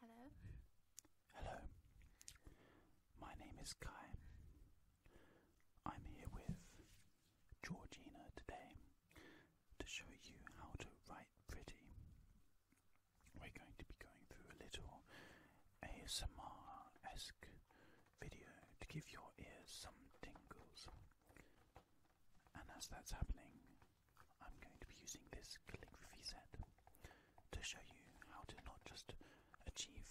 Hello. Hello. My name is Kai. I'm here with Georgina today to show you how to write pretty. We're going to be going through a little ASMR esque video to give your ears some tingles. And as that's happening, I'm going to be using this calligraphy set to show you how to not just achieve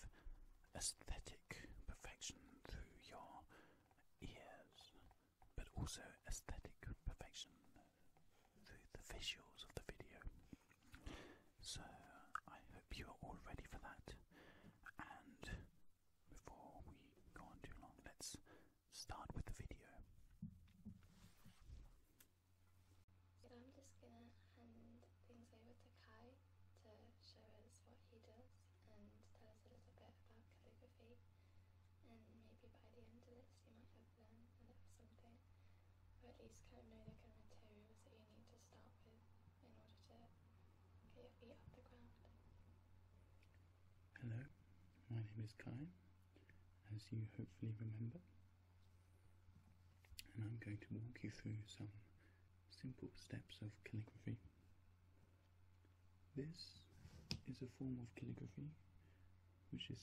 aesthetic perfection through your ears, but also aesthetic perfection through the visuals of the video. So I hope you are all ready for that. And before we go on too long, let's start with the video. I'm just gonna hand things over to Kai to show us what he does and tell us a little bit about calligraphy and maybe by the end of this you might have learned something or at least kind of know the kind of materials that you need to start with in order to get your feet off the ground. Hello, my name is Kai as you hopefully remember. And I'm going to walk you through some simple steps of calligraphy. This is a form of calligraphy which is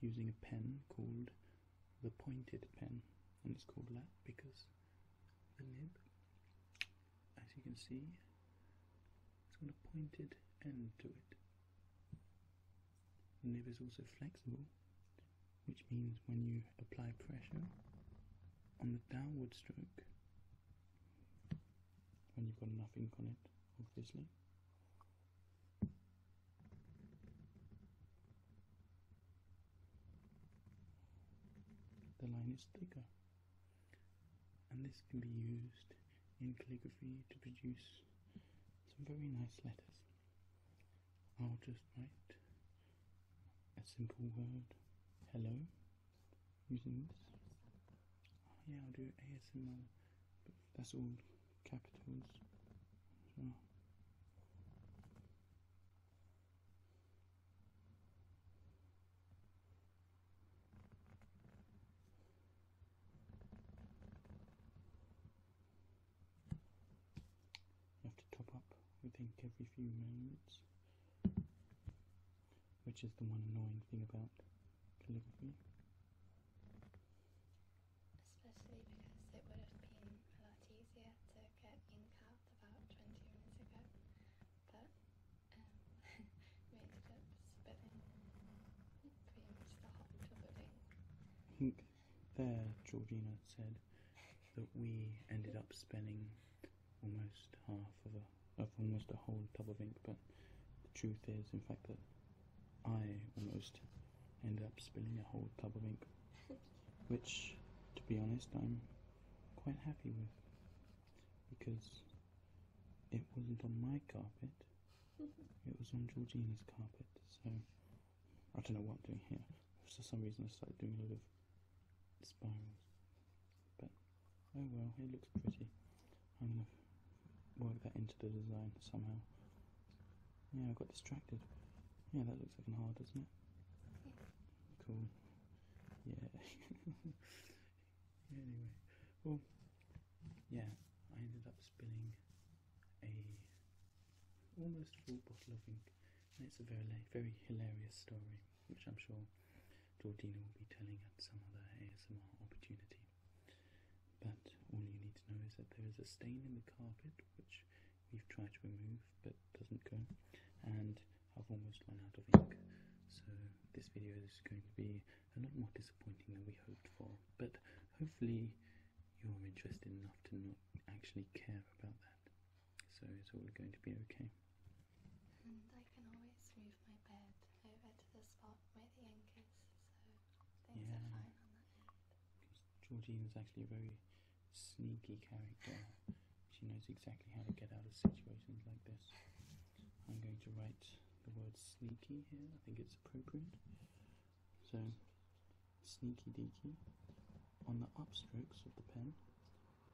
using a pen called the pointed pen, and it's called that because the nib, as you can see, it's got a pointed end to it. The nib is also flexible, which means when you apply pressure on the downward stroke, when you've got enough ink on it, obviously, the line is thicker. And this can be used in calligraphy to produce some very nice letters. I'll just write a simple word, hello, using this. Oh, yeah, I'll do ASMR, but that's all capitals you have to top up, I think, every few moments, which is the one annoying thing about calligraphy. Especially because it would have been a lot easier to get ink out about 20 minutes ago, but um, we ended up I think there, Georgina said that we ended up spending almost half of a of almost a whole tub of ink, but the truth is, in fact, that I almost ended up spilling a whole tub of ink, which, to be honest, I'm quite happy with because it wasn't on my carpet, it was on Georgina's carpet, so I don't know what I'm doing here. For some reason I started doing a lot of spirals. But oh well, it looks pretty. I'm gonna work that into the design somehow. Yeah, I got distracted. Yeah, that looks like an R, doesn't it? Cool. Yeah. anyway yeah, I ended up spilling a almost full bottle of ink, and it's a very very hilarious story, which I'm sure Georgina will be telling at some other ASMR opportunity. But all you need to know is that there is a stain in the carpet, which we've tried to remove but doesn't go, and I've almost run out of ink. So this video is going to be a lot more disappointing than we hoped for, but hopefully you're interested enough to not actually care about that. So it's all going to be okay. And I can always move my bed over to the spot where the ink is, so things are fine on is actually a very sneaky character. She knows exactly how to get out of situations like this. I'm going to write the word sneaky here, I think it's appropriate. So, sneaky deaky, on the upstrokes of the pen,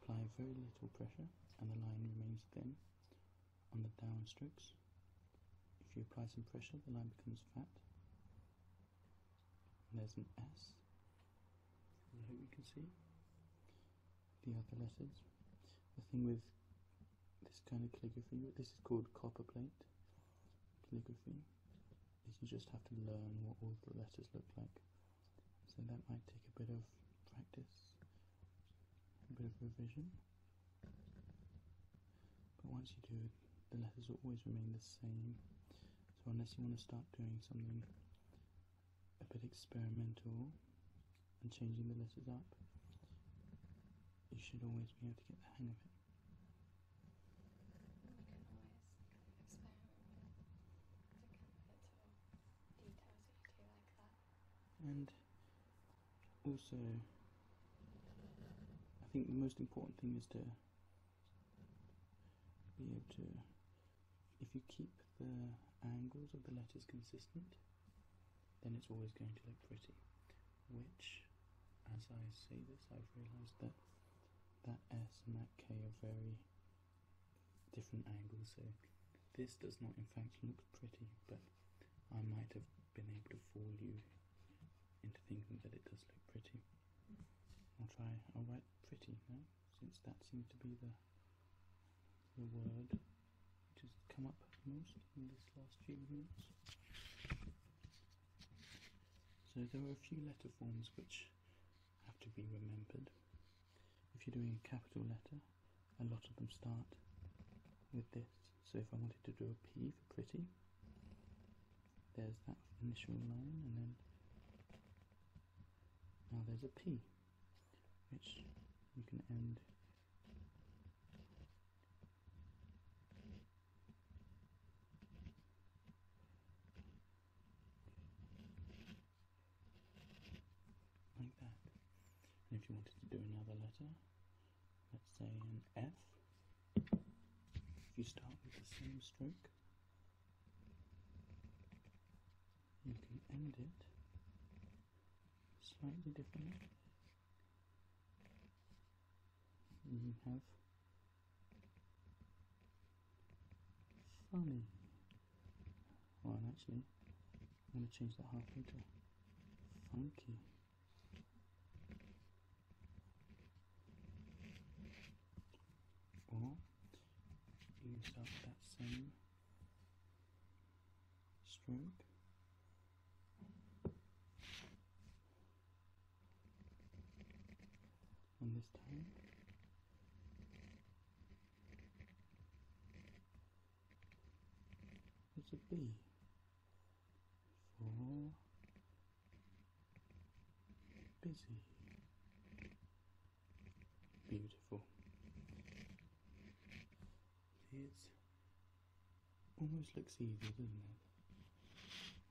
apply very little pressure and the line remains thin. On the downstrokes, if you apply some pressure, the line becomes fat. there's an S. hope you can see the other letters. The thing with this kind of calligraphy. This is called copperplate calligraphy. You just have to learn what all the letters look like. So that might take a bit of practice, a bit of revision. But once you do it, the letters always remain the same. So unless you want to start doing something a bit experimental and changing the letters up, you should always be able to get the hang of it. And also, I think the most important thing is to be able to, if you keep the angles of the letters consistent, then it's always going to look pretty. Which, as I say this, I've realised that that S and that K are very different angles, so this does not in fact look pretty, but I might have been able to fool you into thinking that it does look pretty. I'll try, I'll write pretty now, since that seems to be the, the word which has come up most in this last few minutes. So there are a few letter forms which have to be remembered. If you're doing a capital letter, a lot of them start with this. So if I wanted to do a P for pretty, there's that initial line and then now there's a P which you can end like that. And if you wanted to do another letter, let's say an F, if you start with the same stroke, you can end it slightly differently we mm-hmm. have funny well actually I'm going to change that half to funky or you can that same stroke and this time. It's a B for busy. Beautiful. Here's Almost looks easy, doesn't it?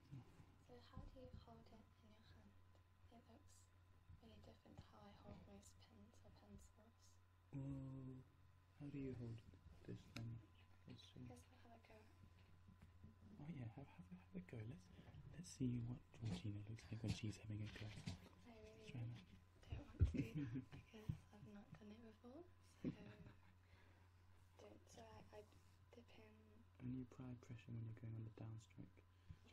So how do you hold it in your hand? It looks really different to how I hold most pens or pencils. Well, mm, how do you hold this then? Let's see. Guess we have a go. Oh yeah, have, have, a go. Let's let's see what Georgina looks like when she's having a go. I don't because I've not done it before, do And you apply pressure when you're going on the downstroke.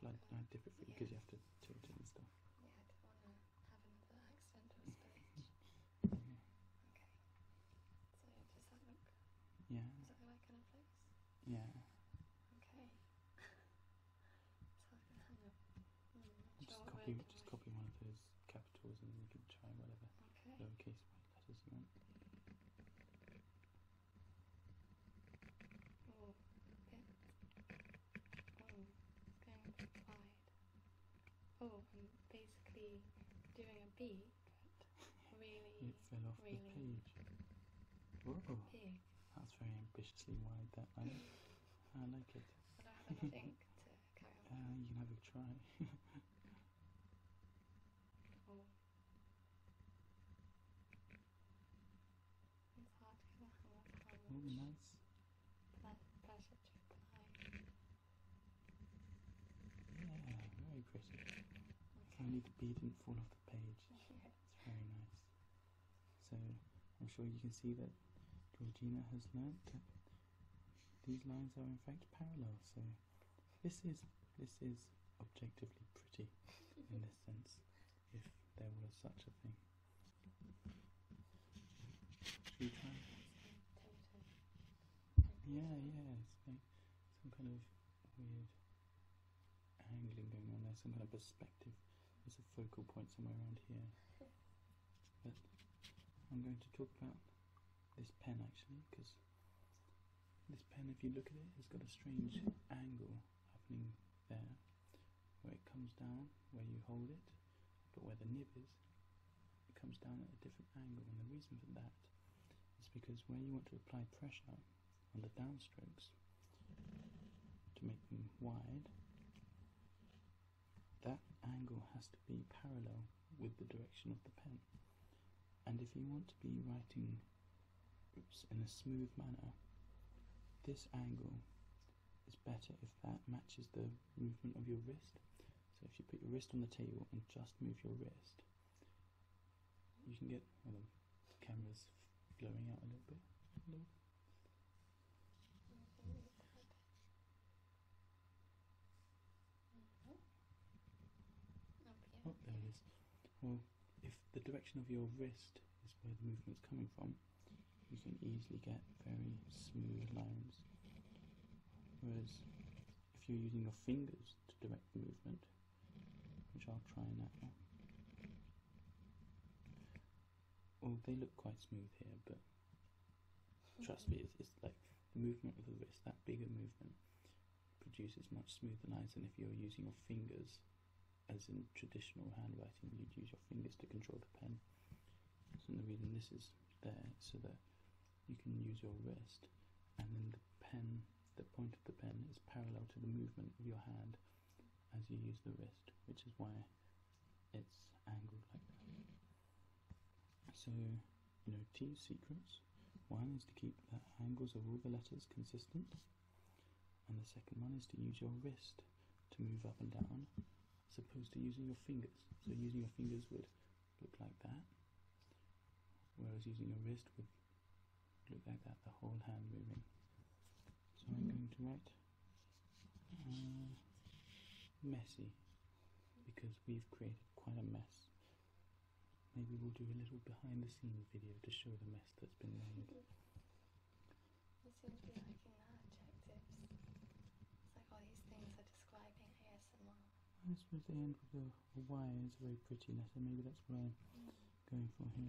Like I, dip it for you because you have to tilt it and stuff? Yeah, yeah. Okay. just copy, just copy one of those capitals and you can try whatever okay. That is Oh, it. Oh, it's going quite wide. Oh, I'm basically doing a B, but really, it fell off the page. Whoa, That's very ambitiously uh, wide. That I, I like it. you can have a try. Oh, nice. Yeah, very pretty. Okay. Only the bee didn't fall off the page. It's very nice. So, I'm sure you can see that Georgina has learnt that these lines are in fact parallel, so this is this is objectively pretty in this sense, if there was such a thing. Yeah, yeah, it's like some kind of weird angling going on there, some kind of perspective. There's a focal point somewhere around here. But I'm going to talk about this pen actually, because this pen, if you look at it, has got a strange angle happening there, where it comes down, where you hold it, but where the nib is, it comes down at a different angle, and the reason for that is because where you want to apply pressure on the downstrokes to make them wide, that angle has to be parallel with the direction of the pen. And if you want to be writing in a smooth manner, this angle is better if that matches the movement of your wrist. So if you put your wrist on the table and just move your wrist, you can get well, the camera's blowing out a little bit. Oh, there it is. Well, if the direction of your wrist is where the movement is coming from, you can easily get very smooth lines. Whereas if you're using your fingers to direct the movement, which I'll try now, well, they look quite smooth here, but trust me, it's like the movement of the wrist, that bigger movement, produces much smoother lines and if you are using your fingers as in traditional handwriting you'd use your fingers to control the pen so the reason this is there so that you can use your wrist and then the pen the point of the pen is parallel to the movement of your hand as you use the wrist which is why it's angled like that so, you know, two secrets. One is to keep the angles of all the letters consistent, and the second one is to use your wrist to move up and down, as opposed to using your fingers. So using your fingers would look like that, whereas using your wrist would look like that, the whole hand moving. So I'm going to write uh, messy, because we've created quite a mess. Maybe we'll do a little behind the scenes video to show the mess that's been made. You seem to be liking that adjectives. It's like all these things are describing ASMR. I suppose the end with the Y is a very pretty letter, maybe that's what I'm mm. going for here.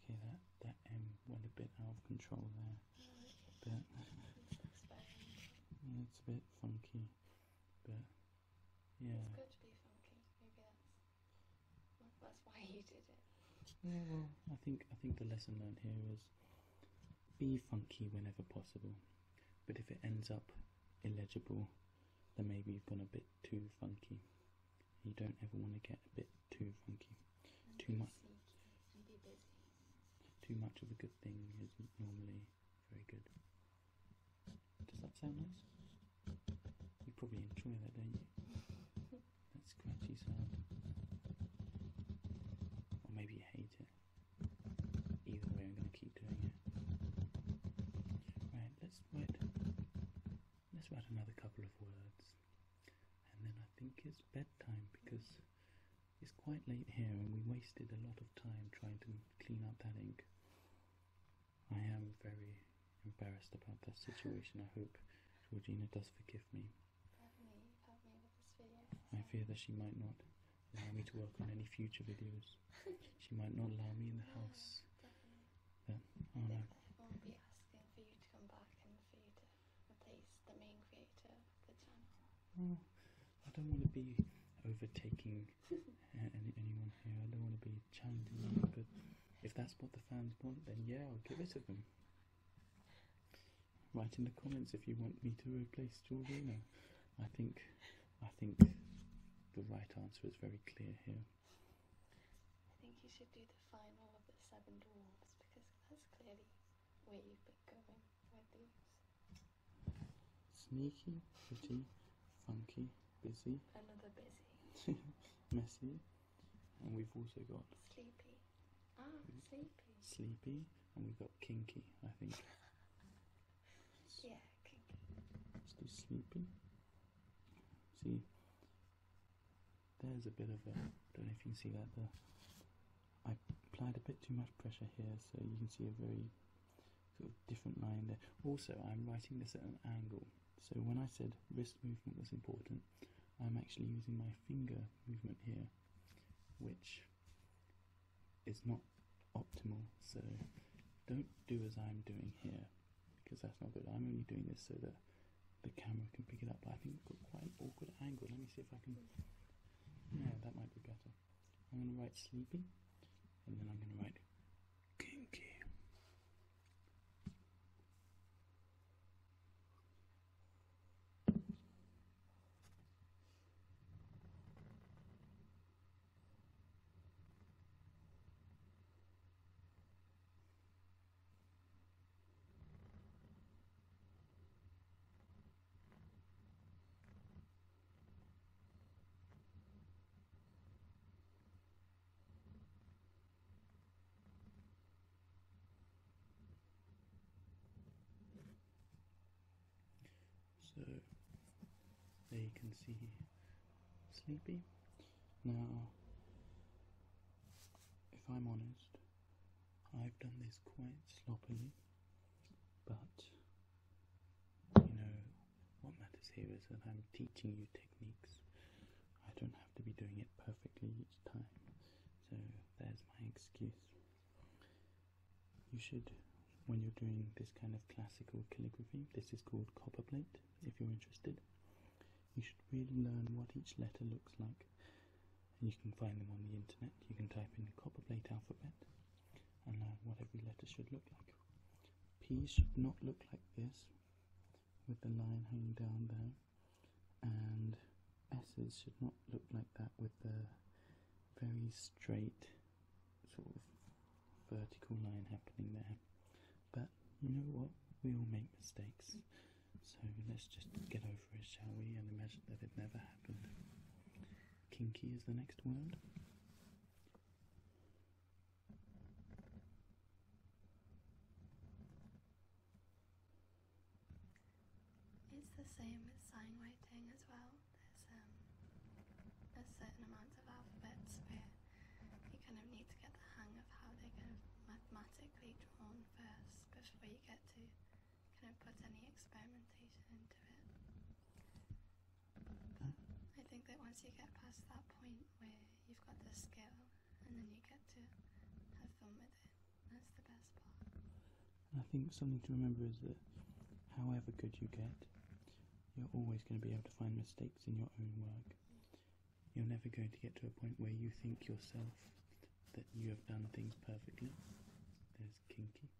Okay, that, that M went a bit out of control there. But it's a bit funky. But yeah. It's good to be funky. Maybe that's that's why you did it. Yeah, I think I think the lesson learned here is be funky whenever possible. But if it ends up illegible, then maybe you've gone a bit too funky. You don't ever want to get a bit too funky. too much. Too much of a good thing is normally very good. Does that sound nice? You probably enjoy that, don't you? That's scratchy sound. Or maybe you hate it. Either way, I'm going to keep doing it. Right, let's write. Let's write another couple of words and then I think it's bedtime because it's quite late here and we wasted a lot of time trying to clean up that ink. I am very embarrassed about that situation. I hope Georgina does forgive me. I fear that she might not allow me to work on any future videos. she might not allow me in the house. Definitely. I won't replace the main creator the channel. I don't want to be overtaking uh, anyone here. I don't want to be challenging but if that's what the fans want, then yeah, I'll give it to them. Write in the comments if you want me to replace Georgina. I think, I think the right answer is very clear here. I think you should do the final of the seven dwarves because that's clearly Sneaky, pretty, funky, busy. Another busy. messy. And we've also got sleepy. Ah, mm. sleepy. Sleepy, and we've got kinky, I think. yeah, kinky. Let's See, there's a bit of a, I don't know if you can see that there, I applied a bit too much pressure here so you can see a very sort of different line there. Also I'm writing this at an angle so when I said wrist movement was important I'm actually using my finger movement here which is not optimal so don't do as I'm doing here because that's not good. I'm only doing this so that the camera can pick it up, but I think we've got quite an awkward angle. Let me see if I can. Yeah, that might be better. I'm going to write sleepy, and then I'm going to write kinky. So there you can see Sleepy. Now, if I'm honest, I've done this quite sloppily, but you know, what matters here is that I'm teaching you techniques. I don't have to be doing it perfectly each time, so there's my excuse. You should, when you're doing this kind of classical calligraphy, this is called copperplate if you're interested, you should really learn what each letter looks like and you can find them on the internet. You can type in the copperplate alphabet and learn uh, what every letter should look like. P should not look like this, with the line hanging down there, and S's should not look like that with the very straight sort of vertical line happening there. But you know what? We all make mistakes. So let's just get over it, shall we, and imagine that it never happened. Kinky is the next word. It's the same with sign writing as well. There's um, a certain amount of alphabets but you kind of need to get the hang of how they're kind of mathematically drawn first before you get to kind of puts any experimentation into it. But hmm? I think that once you get past that point where you've got the skill and then you get to have fun with it, that's the best part. I think something to remember is that however good you get, you're always going to be able to find mistakes in your own work. You're never going to get to a point where you think yourself that you have done things perfectly. There's kinky.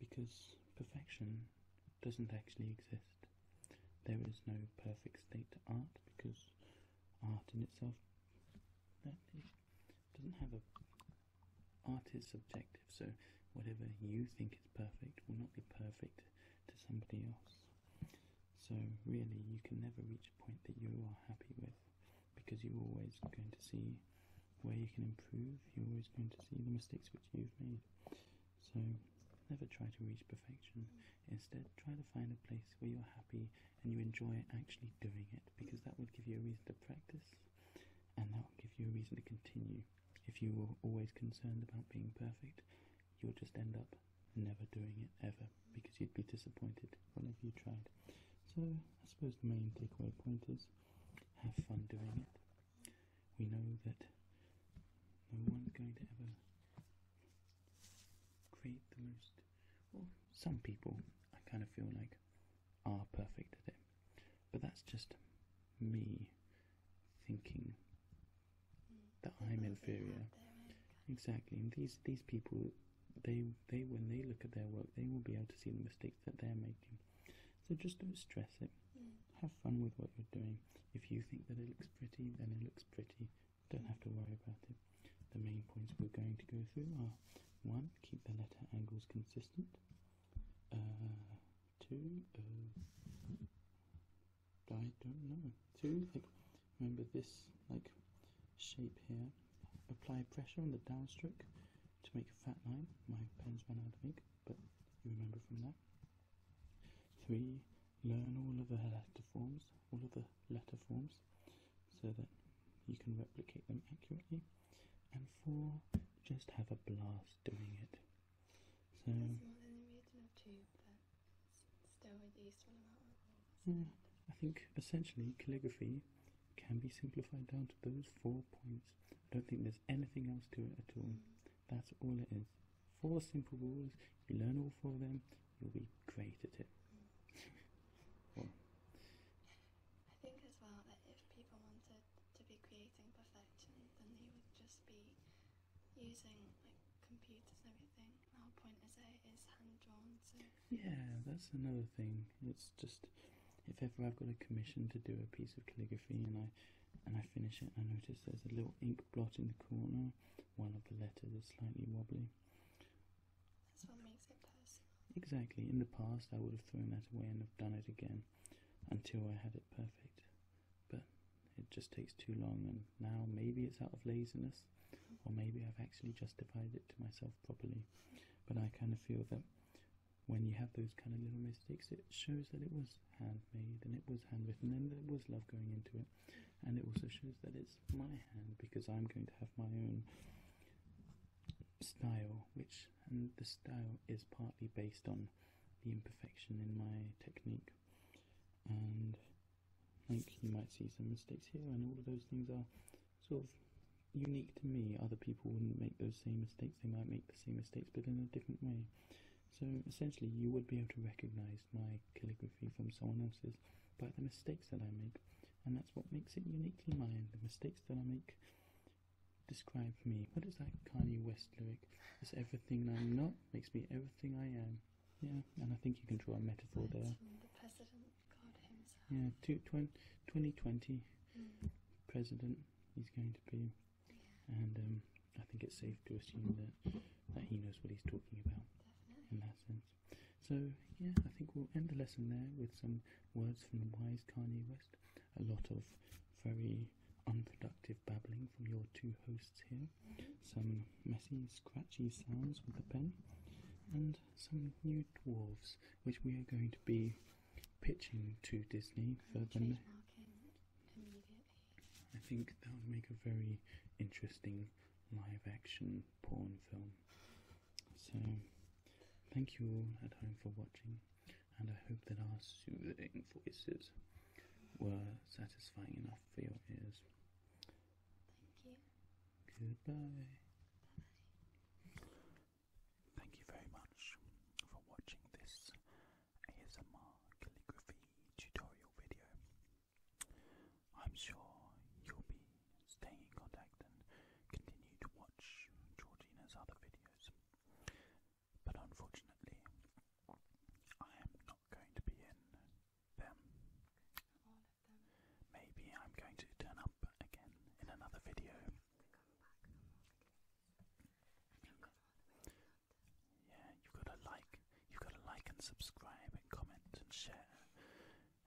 Because perfection doesn't actually exist. There is no perfect state to art because art in itself doesn't have a art is subjective so whatever you think is perfect will not be perfect to somebody else so really you can never reach a point that you are happy with because you're always going to see where you can improve, you're always going to see the mistakes which you've made. So never try to reach perfection. Instead, try to find a place where you're happy and you enjoy actually doing it because that will give you a reason to practice and that will give you a reason to continue. If you were always concerned about being perfect, you'll just end up never doing it ever because you'd be disappointed whenever you tried. So, I suppose the main takeaway point is have fun doing it. We know that no one's going to ever create the most, well, some people I kind of feel like are perfect at it, but that's just me thinking that I'm inferior. Exactly, and these these people they they when they look at their work they will be able to see the mistakes that they're making so just don't stress it have fun with what you're doing if you think that it looks pretty then it looks pretty don't have to worry about it the main points we're going to go through are one keep the letter angles consistent uh, two uh, i don't know two like remember this like shape here apply pressure on the downstroke to make a fat line. My pen's run out of ink, but you remember from that. 3. Learn all of the letter forms, all of the letter forms, so that you can replicate them accurately. And 4. Just have a blast doing it. So. I think essentially calligraphy can be simplified down to those four points. I don't think there's anything else to it at all. That's all it is. Four simple rules, you learn all four of them, you'll be great at it. well, I think as well that if people wanted to be creating perfection, then they would just be using like computers and everything. The whole point is that it is hand drawn, so yeah, that's another thing. It's just if ever I've got a commission to do a piece of calligraphy and I and I finish it, I notice there's a little ink blot in the corner, one of the letters is slightly wobbly. That's what makes it personal. Exactly. In the past, I would have thrown that away and have done it again until I had it perfect. But it just takes too long, and now maybe it's out of laziness, or maybe I've actually justified it to myself properly. But I kind of feel that when you have those kind of little mistakes, it shows that it was handmade and it was handwritten and there was love going into it. And it also shows that it's my hand because I'm going to have my own style, which, and the style is partly based on the imperfection in my technique. And like you might see some mistakes here, and all of those things are sort of unique to me. Other people wouldn't make those same mistakes. They might make the same mistakes, but in a different way. So essentially, you would be able to recognize my calligraphy from someone else's by the mistakes that I make, and that's what makes it uniquely mine. The mistakes that I make describe me. What is that Kanye West lyric? It's everything I'm not makes me everything I am. Yeah, and I think you can draw a metaphor there. Yeah, two, 2020 mm. president he's going to be. And um, I think it's safe to assume that, that he knows what he's talking about in that sense. So, yeah, I think we'll end the lesson there with some words from the wise Kanye West. A lot of very unproductive babbling from your two hosts here, mm. some messy, scratchy sounds with the pen, and some new dwarves which we are going to be pitching to Disney for them. I think that would make a very interesting live action porn film. So, thank you all at home for watching, and I hope that our soothing voices were satisfying enough for your ears. Thank you. Goodbye. Bye. Thank you very much for watching this ASMR calligraphy tutorial video. I'm sure you'll be staying in contact and continue to watch Georgina's other videos. But unfortunately, I am not going to be in them. Maybe I'm going to turn up again in another video to come Yeah, you've got to like, you've got to like and subscribe and comment and share,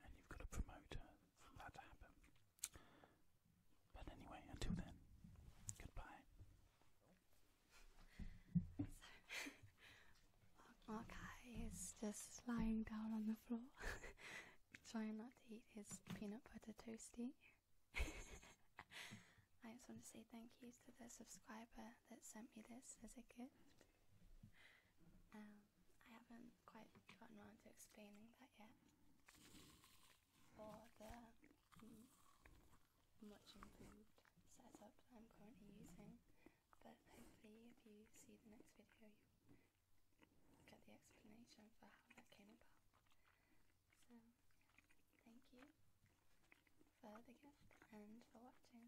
and you've got to promote for that to happen. But anyway, until then, goodbye. So, our is just lying down on the floor. trying not to eat his peanut butter toasty. I just want to say thank you to the subscriber that sent me this as a gift. Um, I haven't quite gotten around to explaining that yet, or the much improved setup I'm currently using. But hopefully, if you see the next video, get the explanation for how that came about. So, thank you for the gift and for watching